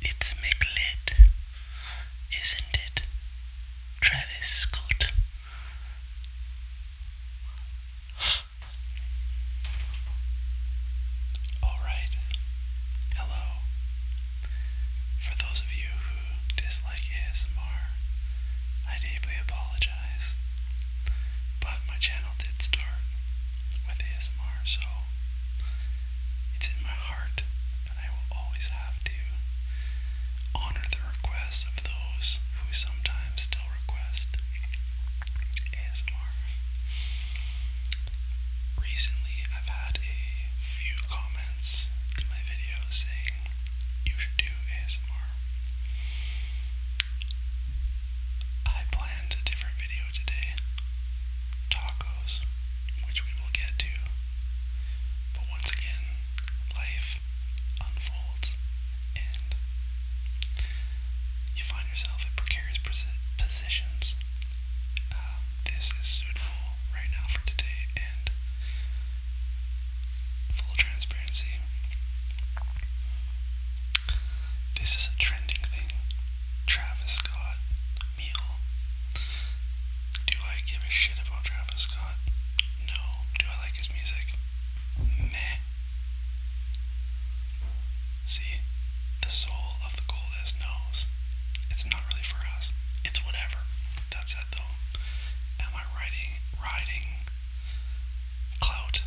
It's McLeod, isn't it? Travis Scott. Alright. Hello. For those of you who dislike ASMR, I deeply apologize apologize. But my channel did start with ASMR, so it's in my heart, and I will always have to honor the requests of those who sometimes still request ASMR. Recently, I've had a few comments in my videos saying you should do ASMR. I planned a different video today tacos, which we will get to. But once again, life unfolds and you find yourself in precarious positions. Um, this is suitable right now for today and full transparency. This is a trending thing. Travis Scott meal. Do I give a shit about Travis Scott? No. Do I like his music? Meh. See, the soul of the coldest knows. It's not really for us. It's whatever. That's it though. Am I riding riding clout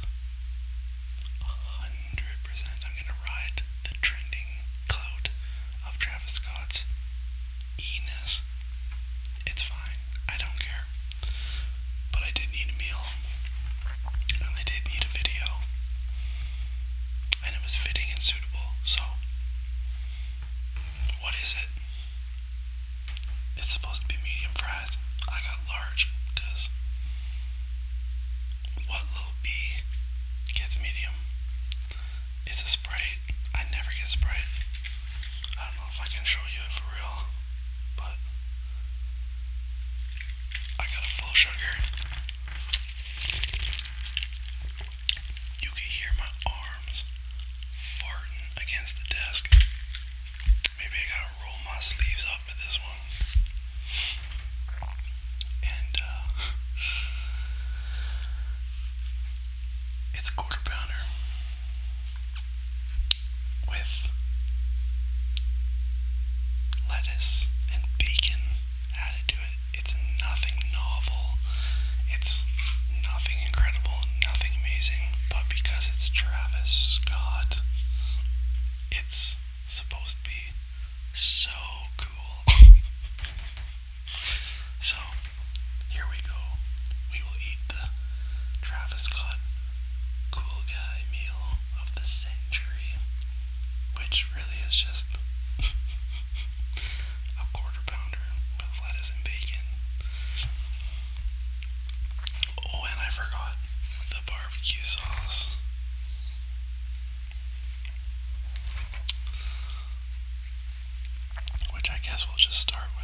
100% I'm going to ride the trending clout of Travis Scott's Enos. It's fine. I don't care. But I did need a meal. And I did need a video. And it was fitting and suitable, so. What is it? It's supposed to be medium fries. I got large because what little B gets medium? It's a Sprite. I never get Sprite. I don't know if I can show you it for real, but I got a full sugar. You can hear my arms farting against the desk. Maybe I gotta roll my sleeves up at this one. And uh, it's a quarter pounder with lettuce and bacon added to it. It's nothing novel. It's nothing incredible, nothing amazing but because it's Travis Scott, it's supposed to be so cool. so, here we go. We will eat the Travis Scott Cool Guy Meal of the Century, which really is just a quarter pounder with lettuce and bacon. Oh, and I forgot the barbecue sauce. Which I guess we'll just start with.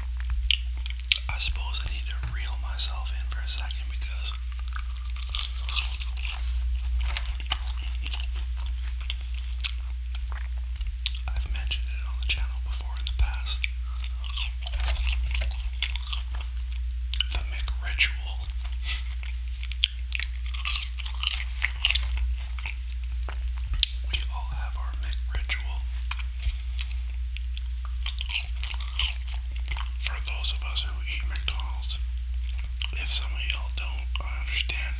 I suppose I need to reel myself in for a second because I've mentioned it on the channel before in the past. The McRitual we all have our ritual. For those of us who eat McDonald's, if some of y'all don't, I understand.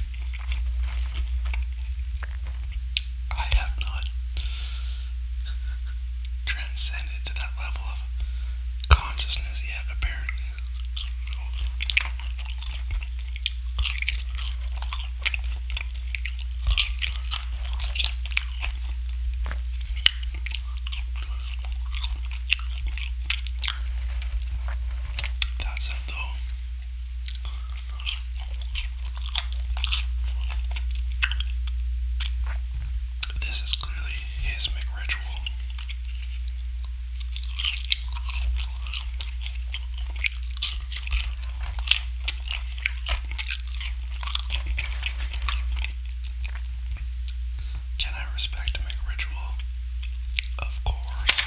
I have not transcended to that level of consciousness yet, apparently. That said, though, this is clearly his McRitual. Can I respect and make a ritual? Of course.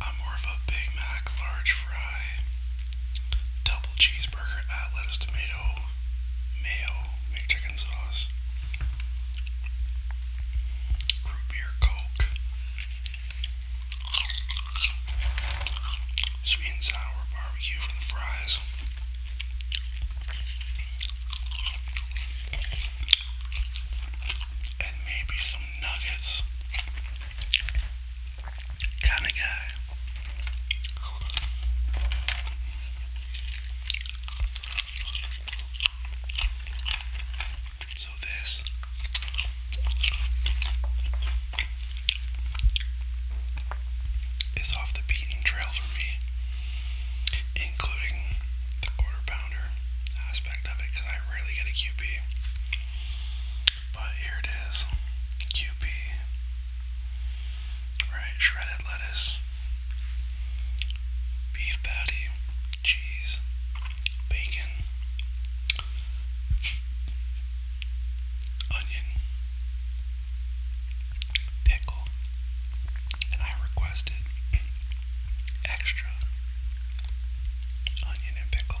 I'm more of a Big Mac large fry double cheeseburger at uh, lettuce, tomato, mayo, McChicken sauce, root beer, coke, sweet and sour barbecue for the fries. And maybe some nuggets kind of guy. So this is off the beaten trail for me, including the quarter pounder aspect of it, because I rarely get a QB. But here it is QP. Right, shredded lettuce, beef patty, cheese, bacon, onion, pickle, and I requested extra onion and pickle.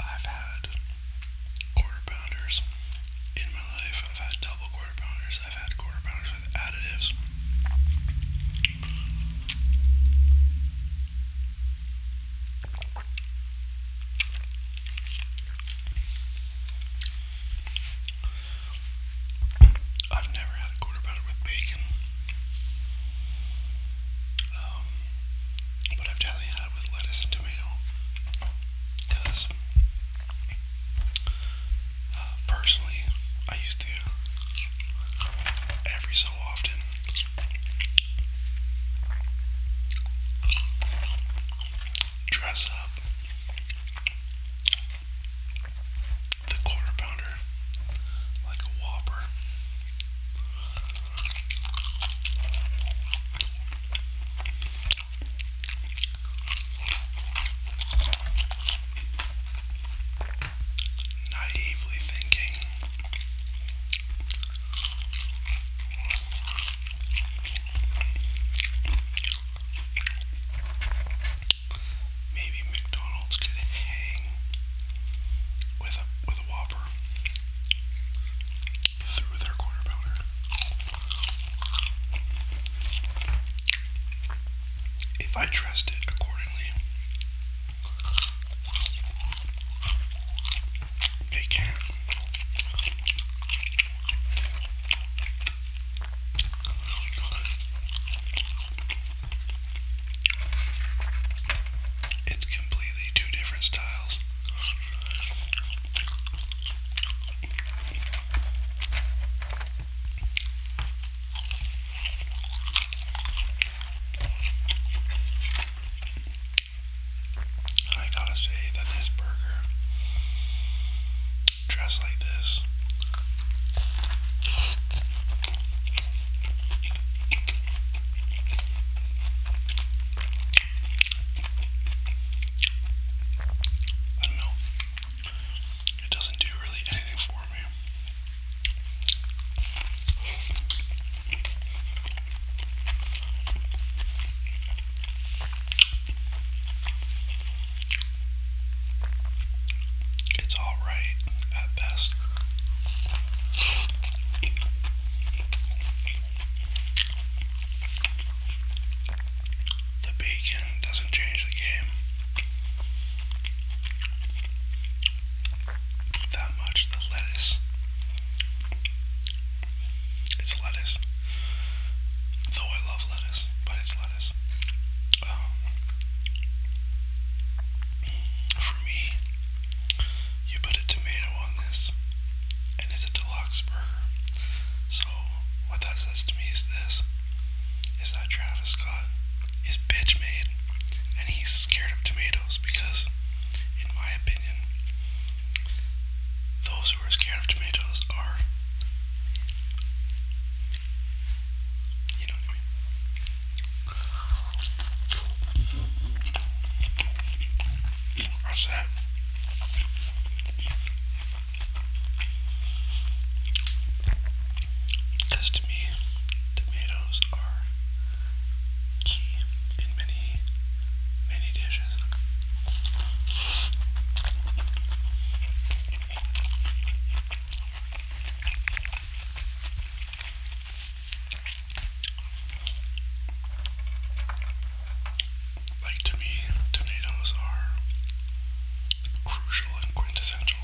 I've had quarter pounders in my life. I've had double quarter pounders, I've had quarter pounders with additives. I've never had a quarter pounder with bacon. Uh, but um, I've definitely had it with lettuce and tomato. Because, uh, personally, I used to every so often. Dress up the quarter pounder like a whopper Naively thinking maybe McDonald's could hang with a with a Whopper through their quarter pounder. If I dressed it accordingly, they can. It's completely two different styles. I gotta say that this burger, dressed like this, I don't know. It doesn't do really anything for me. It's all right at best. The beacon doesn't change the game that much. The lettuce. It's lettuce. Though I love lettuce, but it's lettuce. Um, for me, you put a tomato on this, and it's a deluxe burger. So what that says to me is this: is that Travis Scott is bitch made, and he's scared of tomatoes because, in my opinion, those who are scared of tomatoes are, you know what I mean? What's that? Because to me, tomatoes are key in many, many dishes. Like to me, tomatoes are crucial and quintessential.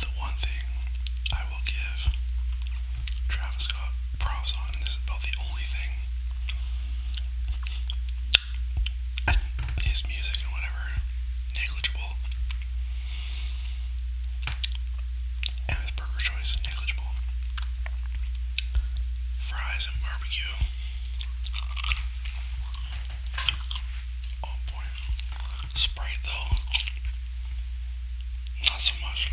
The one thing I will give Travis Scott props on, and this is about the only thing, and music and whatever, negligible. And his burger choice negligible. Fries and barbecue. Oh boy. Sprite though. Not so much.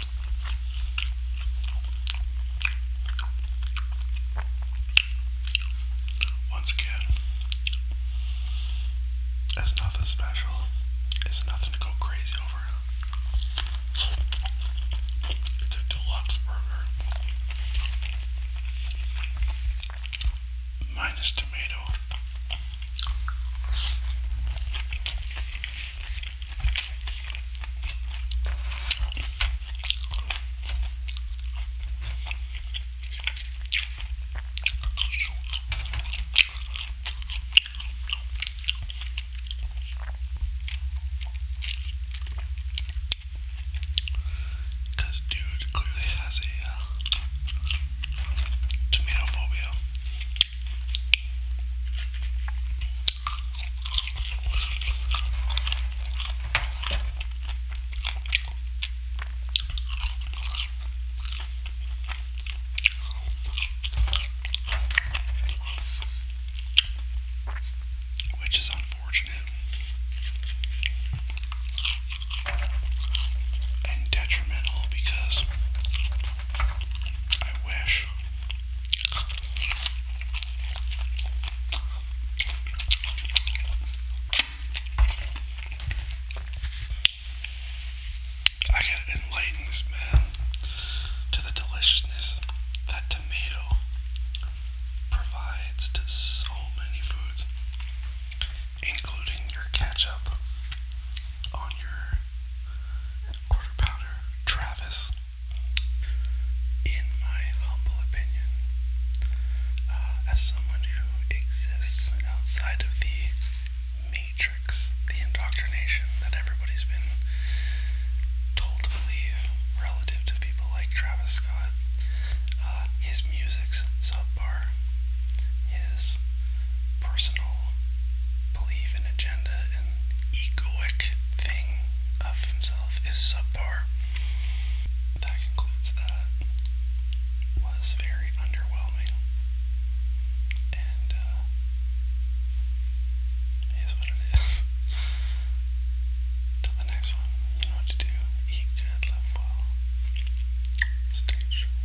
Once again, it's nothing special. It's nothing to go crazy over. It's a deluxe burger. Minus tomato. Because the dude clearly has a uh, tomato phobia. Which is unfortunate and detrimental because I wish I gotta enlighten this man to the deliciousness that tomato provides to so many foods, including your ketchup on your quarter pounder, Travis in my humble opinion, uh, as someone who exists outside of the matrix, the indoctrination that everybody's been told to believe relative to people like Travis Scott, uh, his music's subpar, his personal belief and agenda and egoic thing of himself is subpar. That concludes that was very underwhelming. And uh what it is. Till the next one, you know what to do. Eat good, live well. Stay true.